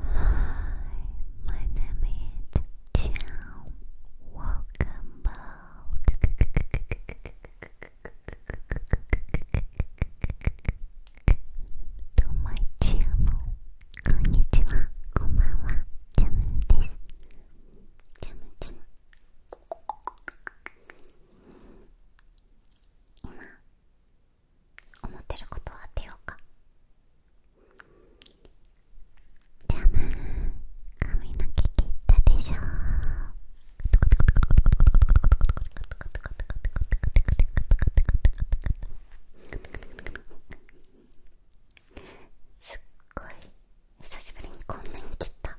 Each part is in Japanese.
Hi, my name is Jiao. Welcome back to my channel. こんにちは、こんばんは、ジャムです。ジャムジャム。今思ってることは当てようかじゃあ髪の毛切ったでしょすっごい久しぶりにこんなに切った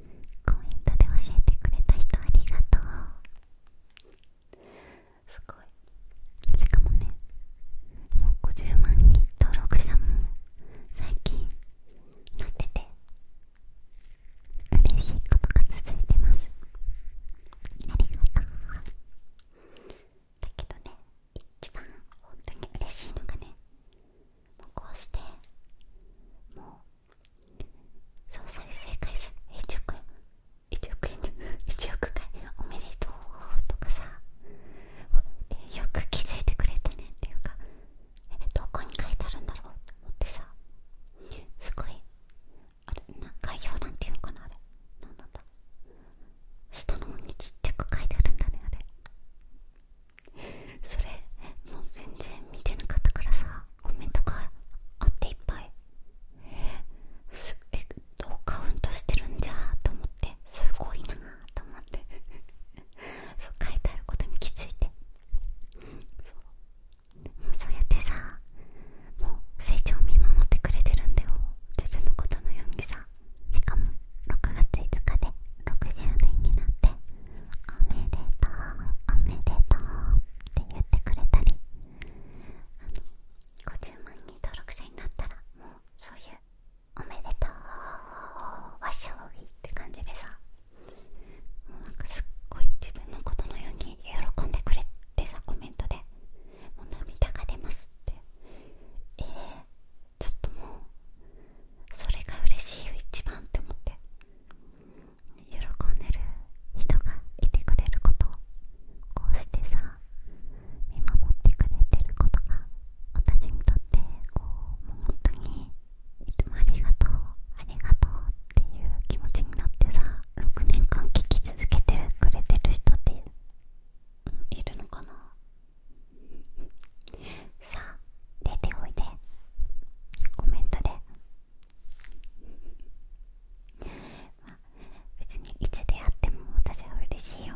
コメントで教えてくれた人ありがとうすごいしかもねもう50万人登録者も最近なってて嬉しいことが続いてますありがとうだけどね一番本当に嬉しいのがねもうこうしてもう総再生回数1億円1億円1億回おめでとうとかさよく気づいてくれたねっていうかどこに書いてあるんだろうと思ってさすごいあれな概要欄っていうのかなあれなんだ下の方にちっちゃく書いてあるんだねあれそれもう全然見てなかったからさコメントがあっていっぱいえすえカウントしてるんじゃと思ってすごいなと思って そう書いてあることに気づいてそうそうやってさもう成長を見守ってくれてるんだよ自分のことのようにさしかも6月5日で6 0年になっておめでとうおめでとうって言ってくれたりあの50万人登録者になったらもうそういうおめでとう和しょぎって感じでさもうなんかすっごい自分のことのように喜んでくれてさコメントでもう涙が出ますってえー、ちょっともうそれが嬉しいよ一番って思って喜んでる人がいてくれることこうしてさ見守ってくれてることが私にとってこうもう本当にいつもありがとうありがとうっていう気持ちになってさ6年間聞き続けてくれてる人っているのかな さあ出ておいでコメントでまあ別にいつ出会っても私は嬉しいよ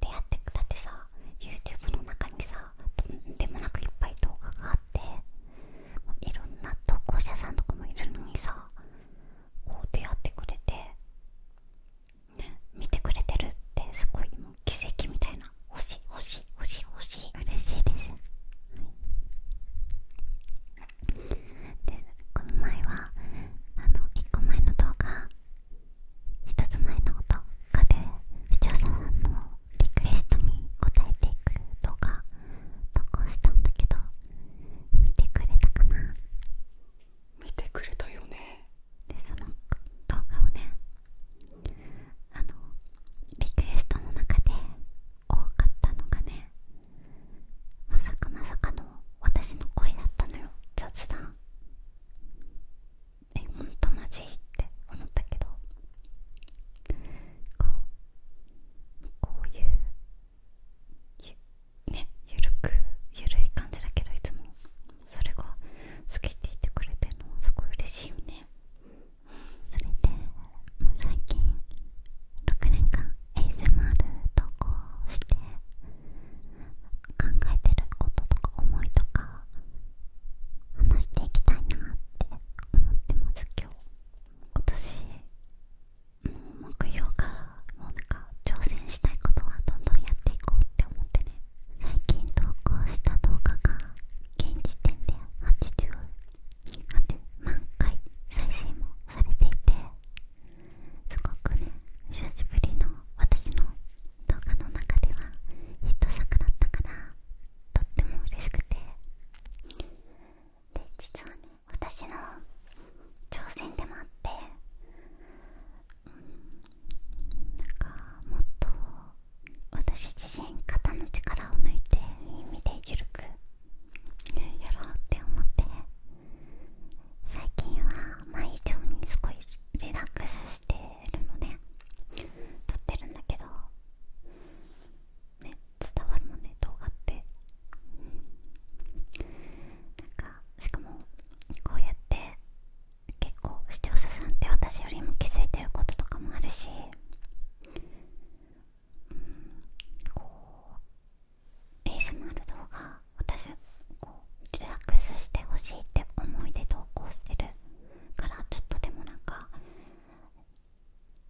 出会ってくだってさ YouTube の中にさとんでもなくいっぱい動画があっていろんな投稿者さんとかもいるのにさこう出会ってくれて見てくれてるってすごいもう奇跡みたいな欲しいしいしい欲しい嬉しいです、はい、でこの前はあの1個前の動画1つ前の動画で視聴者さんのリクエストに応えていく動画投稿したんだけど見てくれたかな見てくれたよねでその動画をねあのリクエストの中で多かったのがねまさかまさかの私の声だったのよ雑談えほんとマジって思ったけどこうこういうゆねゆるくゆるい感じだけどいつもそれが好きって言ってくれてるのすごい嬉しいよねそれでも最近6年間 ASMR 投稿して考えてることとか思いとか話していきたいなって思ってます今日今年もう目標がもうなんか挑戦したいことはどんどんやっていこうって思ってね最近投稿した動画が現時点で88万回再生もされていてすごくね久しぶりの私の動画の中ではヒット作だったからとっても嬉しくてで実はね私の挑戦でもあってうんなんかもっと私自身肩の力を抜いていい意味でゆるくやろうって思って最近は前以上にすごいリラックスしてるのね撮ってるんだけどね伝わるもんね動画って、なんかしかもこうやって結構視聴者さんって私よりも気づいてることとかもあるしうん、こう ASMR 動画私こうリラックスしてほしいって思いで投稿してるからちょっとでもなんか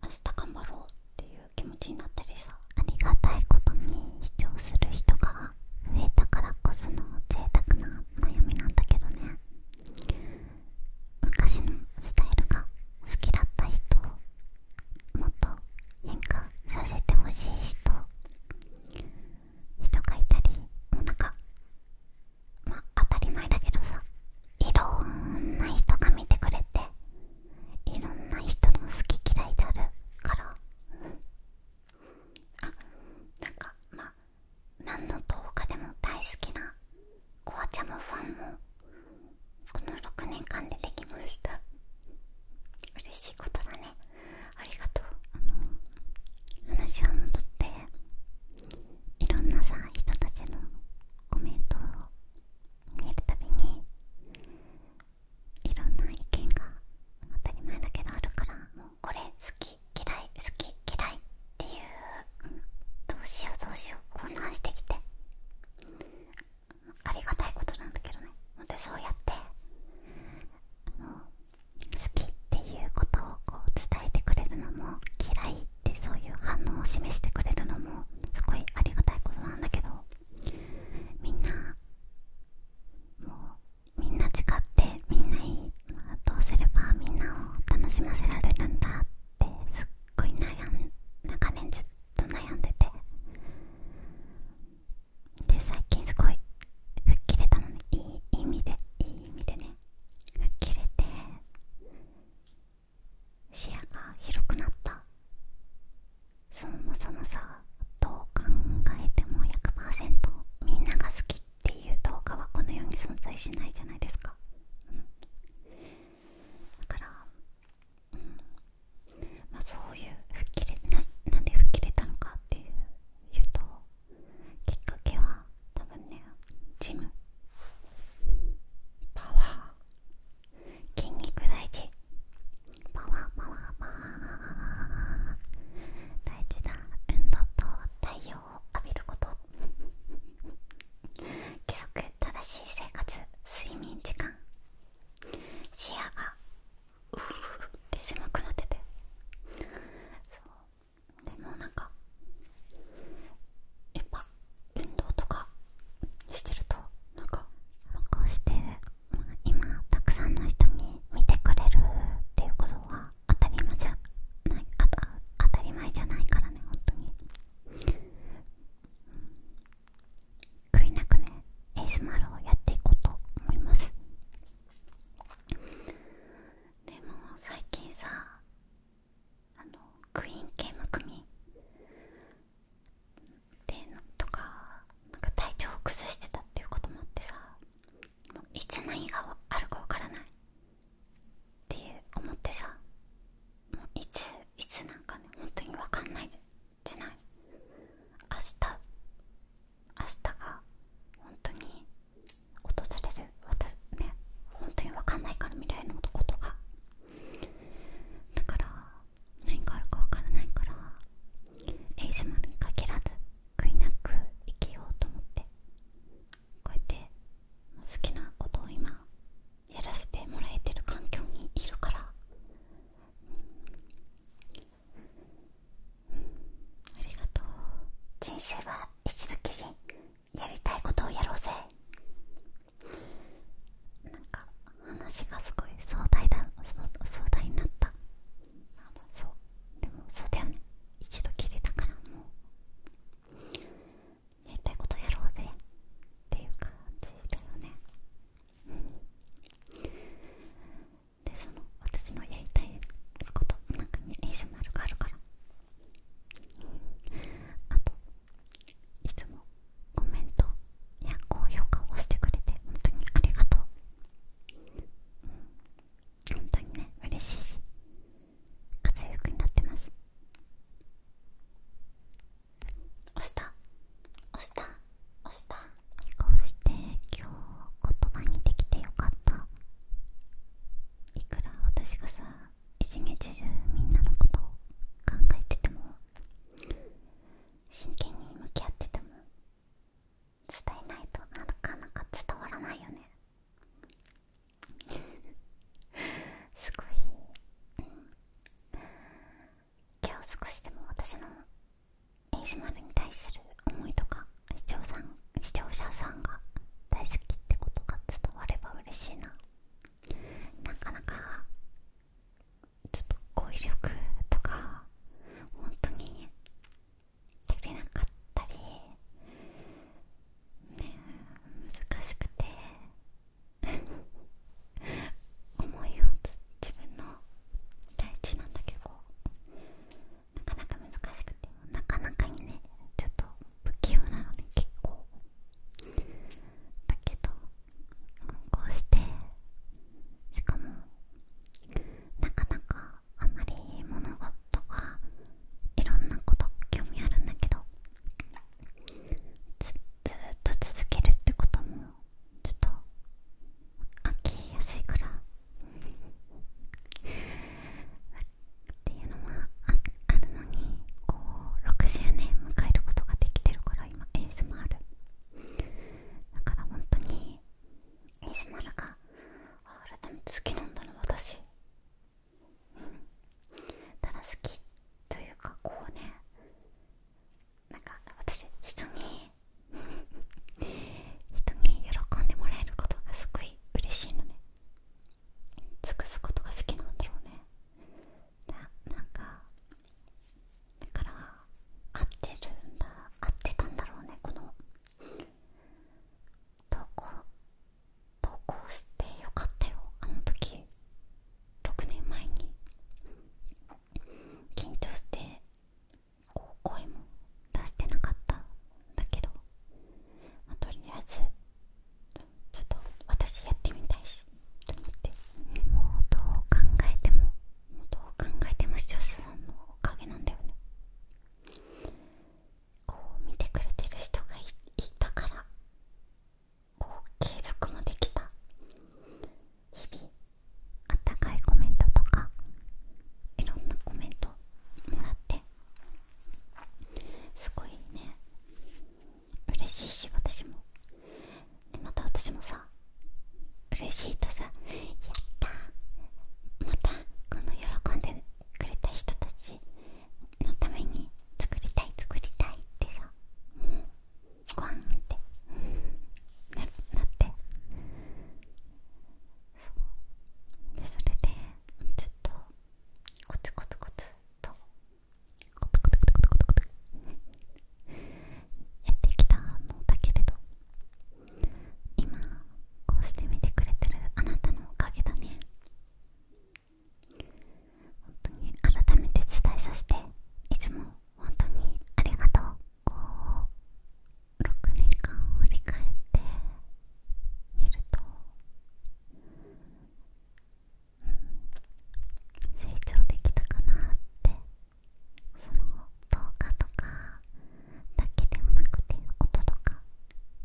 明日頑張ろうっていう気持ちになったりさありがたいことに視聴する人が増えたからこその贅沢な悩みなんだけどね昔のスタイルが好きだった人をもっと変化させてほしい人人がいたりもうなんかまあ当たり前だけどさいろんな人が見てくれていろんな人の好き嫌いであるからあなんかまあ何の動画でも大好きなコアちゃムファンもこの6年間でできました嬉しいことだねありがとうあの話は戻っていろんなさ人たちのコメントを見るたびにいろんな意見が当たり前だけどあるからもうこれ好き嫌い好き嫌いっていう、どうしようどうしよう混乱してきてありがたいことなんだけどね本当にそうやって好きっていうことをこう伝えてくれるのも嫌いってそういう反応を示してくれるのもすごいありがたいことなんだけどみんなもうみんな違ってみんないいどうすればみんなを楽しませられるんだってすっごい悩んで。長年ずっと悩んでてで最近すごい吹っ切れたのねいい意味でいい意味でね吹っ切れて視野が広くなったそもそもさどう考えても100%みんなが好きっていう動画はこのように存在しないじゃないですか、だから、まあ、そういう吹っ切れななんで吹っ切れたのかっていうときっかけは多分ねジムパワー筋肉大事パワーパワーパワー大事だ運動と太陽浴びること規則正しい生活睡眠時間視野がうーって狭くなっててでもなんかやっぱ運動とかしてるとなんかこうして、今たくさんの人に見てくれるっていうことは当たり前じゃないあと当たり前じゃないからね本当に、うん、悔いなくねエースマロをやっていこうと思いますでも最近さあのクイーン系むくみ。でとかなんか体調を崩してたっていうこともあってさいつ何があるかわからないっていう思ってさもういついつなんかね本当にわかんないじゃない明日明日が本当に訪れる私ね本当にわかんないから未来のことがだから何があるかわからないからエイズマルに限らず悔いなく生きようと思ってこうやって好きなことを今やらせてもらえてる環境にいるから、うんありがとう人生は一度きりやりたいことをやろうぜなんか話がすごい壮大だ壮大になったそうでもそうだよね一度きりだからもうやりたいことやろうぜっていう感じだよねでその私のやりたいことのかに a s m ルがあるからあといつもコメントや高評価をしてくれて本当にありがとう、うん、本当にね嬉しいし活躍になってます押した押した押したこうして今日言葉にできてよかったいくら私がさ一日中みんなのことを考えてても真剣に向き合ってても伝えないとなかなか伝わらないよねすごい、今日少しでも私の ASMR に対する思いとか視聴さ視聴者さんが大好きってことが伝われば嬉しいななかなかちょっと語彙力とか本当にできなかったり、ね、難しくて思いを自分の大事なんだけどなかなか難しくてなかなかにねちょっと不器用なので、結構だけどこうしてしかもなかなかあまり物がとかいろんなこと興味あるんだけどずっと続けるってこともちょっと飽きやすいからっていうのはあるのにこう6 0年迎えることができてるから今エースもある。だから本当にエ ASMR があれでも好きなんだな私ただ好きというかこうねなんか私人に 人に喜んでもらえることがすごい嬉しいのね尽くすことが好きなんだろうねなんかだから合ってるんだ合ってたんだろうねこの投稿投稿してよかったよあの時6年前に緊張してこう声も出してなかったんだけど、まとりあえずちょっと私やってみたいしと思ってもうどう考えてももうどう考えても視聴者さんのおかげなんだよねこう見てくれてる人がいたからこう継続もできた日々あったかいコメントとかいろんなコメントもらってすごいね嬉しいし私もでまた私もさ嬉しいとさやったまたこの喜んでくれた人たちのために作りたい作りたいってさ、うん、って、なってそうでそれでずっとコツコツコツとコツコツコツコツコツやってきたのだけれど今こうして見てくれてるあなたのおかげだね本当に改めて伝えさせていつも本当にありがとうこう6年間を振り返ってみると、成長できたかなってその動画とかだけではなくて音とか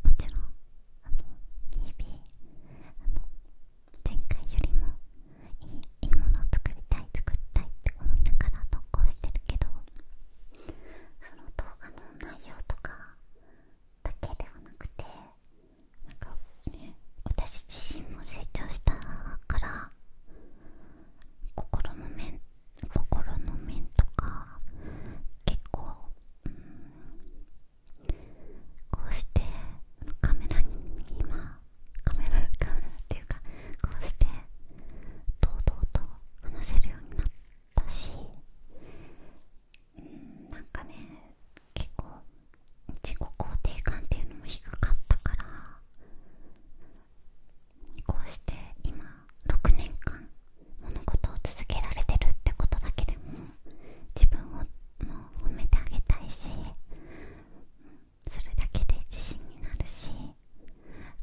もちろんあの日々前回よりもいいものを作りたい作りたいって思いながら投稿してるけどその動画の内容とかだけではなくてなかね私自身も成長したから心の？メ心の面とか結構、こうしてカメラに今カメラカメラっていうかこうして堂々と話せるようになったし、うん、なんかね結構自己肯定感っていうのも低かったからこうして今6年間物事を続けられてるってことだけでも自分をもう褒めてあげたいしそれだけで自信になるし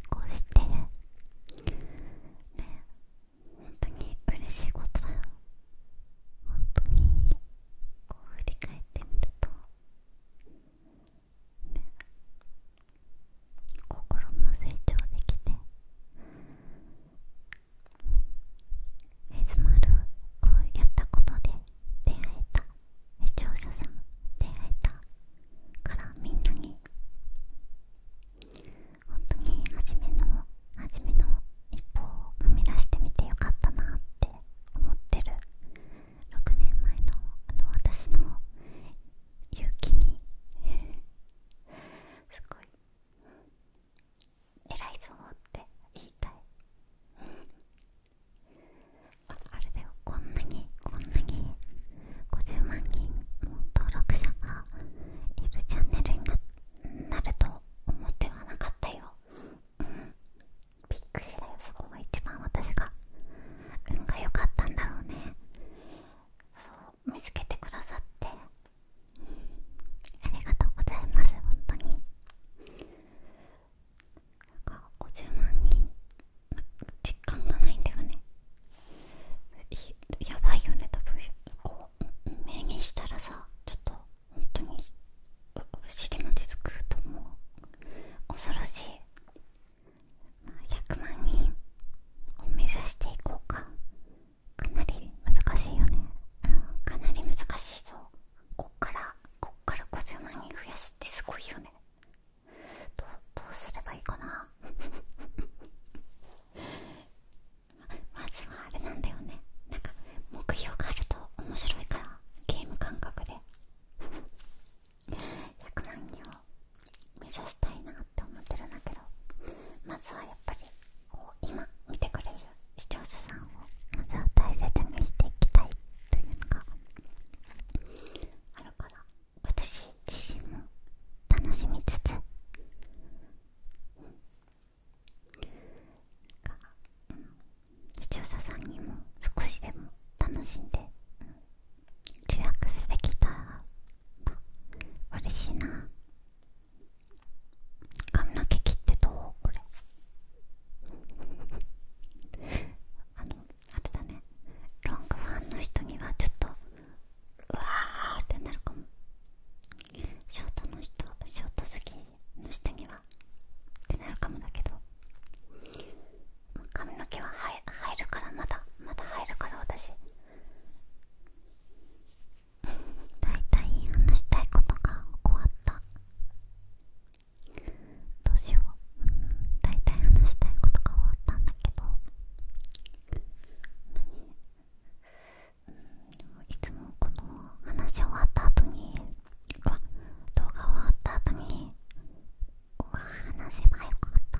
こうしてね本当に嬉しいことだよ本当にこう振り返ってみると、ね、心も成長できて ASMR をやったことで出会えた視聴者さん出会えたからみんなに本当に初めの初めの一歩を踏み出してみてよかったなって思ってる6年前のあの私の勇気にすごい偉いぞって言いたいあれだよこんなにこんなに50万人も登録者がいブチャンネルになると思ってはなかったよ、びっくりだよそこが一番私が運が良かったんだろうねそう見つけてくださって、ありがとうございます本当になんか50万人実感がないんだよねやばいよね多分こう目にしたらさちょっと本当に尻餅つくと思う恐ろしい100万人を目指していこうかかなり難しいよね、かなり難しいぞこっからこっから50万人増やすってすごいよねどうすればいいかな ままずはあれなんだよねなんか目標があると面白いからゲーム感覚で100万人を目指したいなっ思ってるんだけどまずはやっぱりこう今見てくれる視聴者さんをまずは大切にしていきたいというのがあるから私自身も楽しみつつ、うんな視聴者さんにも少しでも楽しんで、リラックスできたら嬉しいな髪の毛切ってどうこれあのあれだねロングファンの人にはちょっとうわーってなるかもショートの人ショート好きの人にはってなるかもだけど髪の毛は入るからまだまだ入るから私だいたい話したいことが終わったどうしよう、うん、だいたい話したいことが終わったんだけどいつもこの話終わった後に動画終わった後に話せばよかった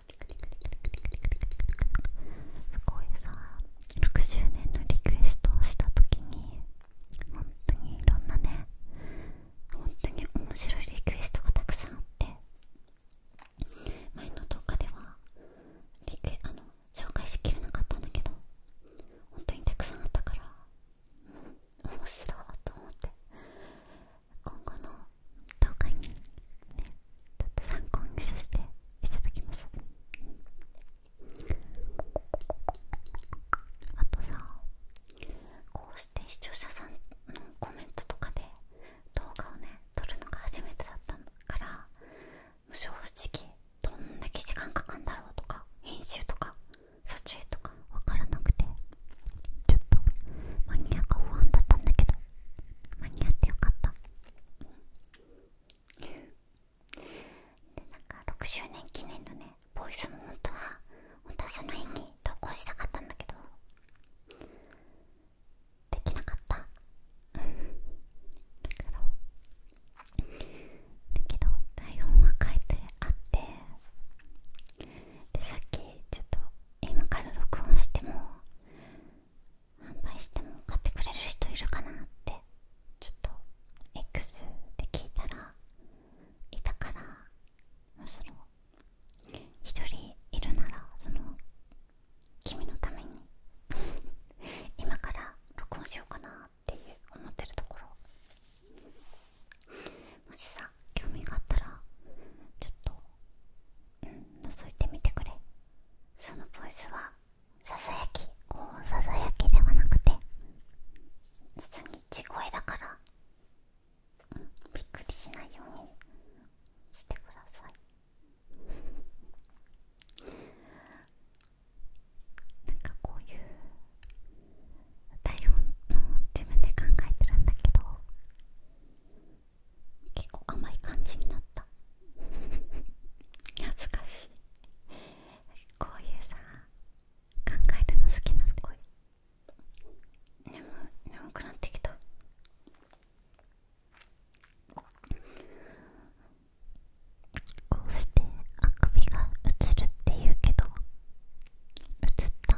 すごいさ6 0年のリクエストをした時に本当にいろんなね本当に面白いリクエストがたくさんあって前の動画ではあの紹介しきれなかったんだけど本当にたくさんあったから、うん、面白いと思って今後の動画にねちょっと参考にさせていただきますあとさこうして視聴者さんのコメントとかで動画をね撮るのが初めてだったから正直どんだけ時間かかんだろうとか編集とか撮影とか分からなくてちょっとマニアが不安だったんだけど間に合ってよかったでなんか6周年記念のねボイスも本当は本当はその日に投稿したかったんだけどできなかったうんだけどだけど台本は書いてあってでさっきちょっと今から録音しても販売しても買ってくれる人いるかなってちょっと X で聞いたらいたからむしろ人いるならその君のために 今から録音しようかなっていう思ってるところもしさ興味があったらちょっとうん覗いてみてくれそのボイスはささやきこうささやきではなくて普通に地声だから、びっくりしないようにしてくださいなんかこういう台本の自分で考えてるんだけど結構甘い感じになった懐かしいこういうさ考えるの好きなのこい眠眠くなってきたこうしてあくびが映るっていうけど映った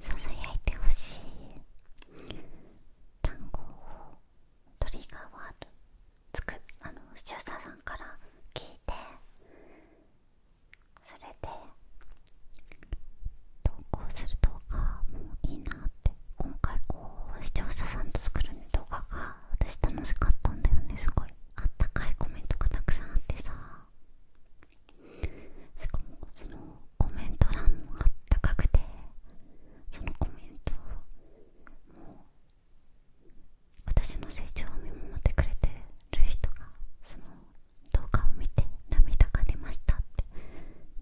ささやいてほしい単語をトリガーワードつくあの視聴者さんから聞いてそれで投稿する動画もいいなって今回こう視聴者さんと作る動画が私楽しかったんだよねすごいあったかいコメントがたくさんあってさしかもそのコメント欄もあったかくてそのコメントをもう私の成長を見守ってくれてる人がその動画を見て涙が出ましたって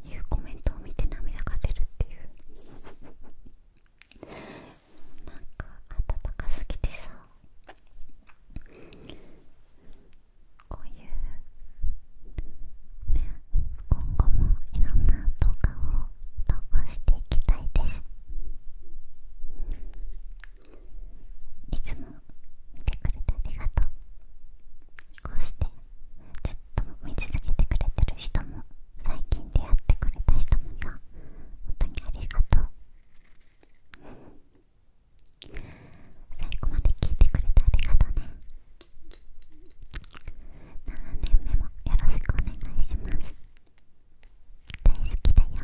いうコメントを見て涙が出るっていうなんか温かすぎてさこういう今後もいろんな動画を投稿していきたいですいつも見てくれてありがとうこうしてずっと見続けてくれてる人も最近出会ってくれた人もさ本当にありがとう最後まで聞いてくれてありがとうね7年目もよろしくお願いします大好きだよおやすみくんなー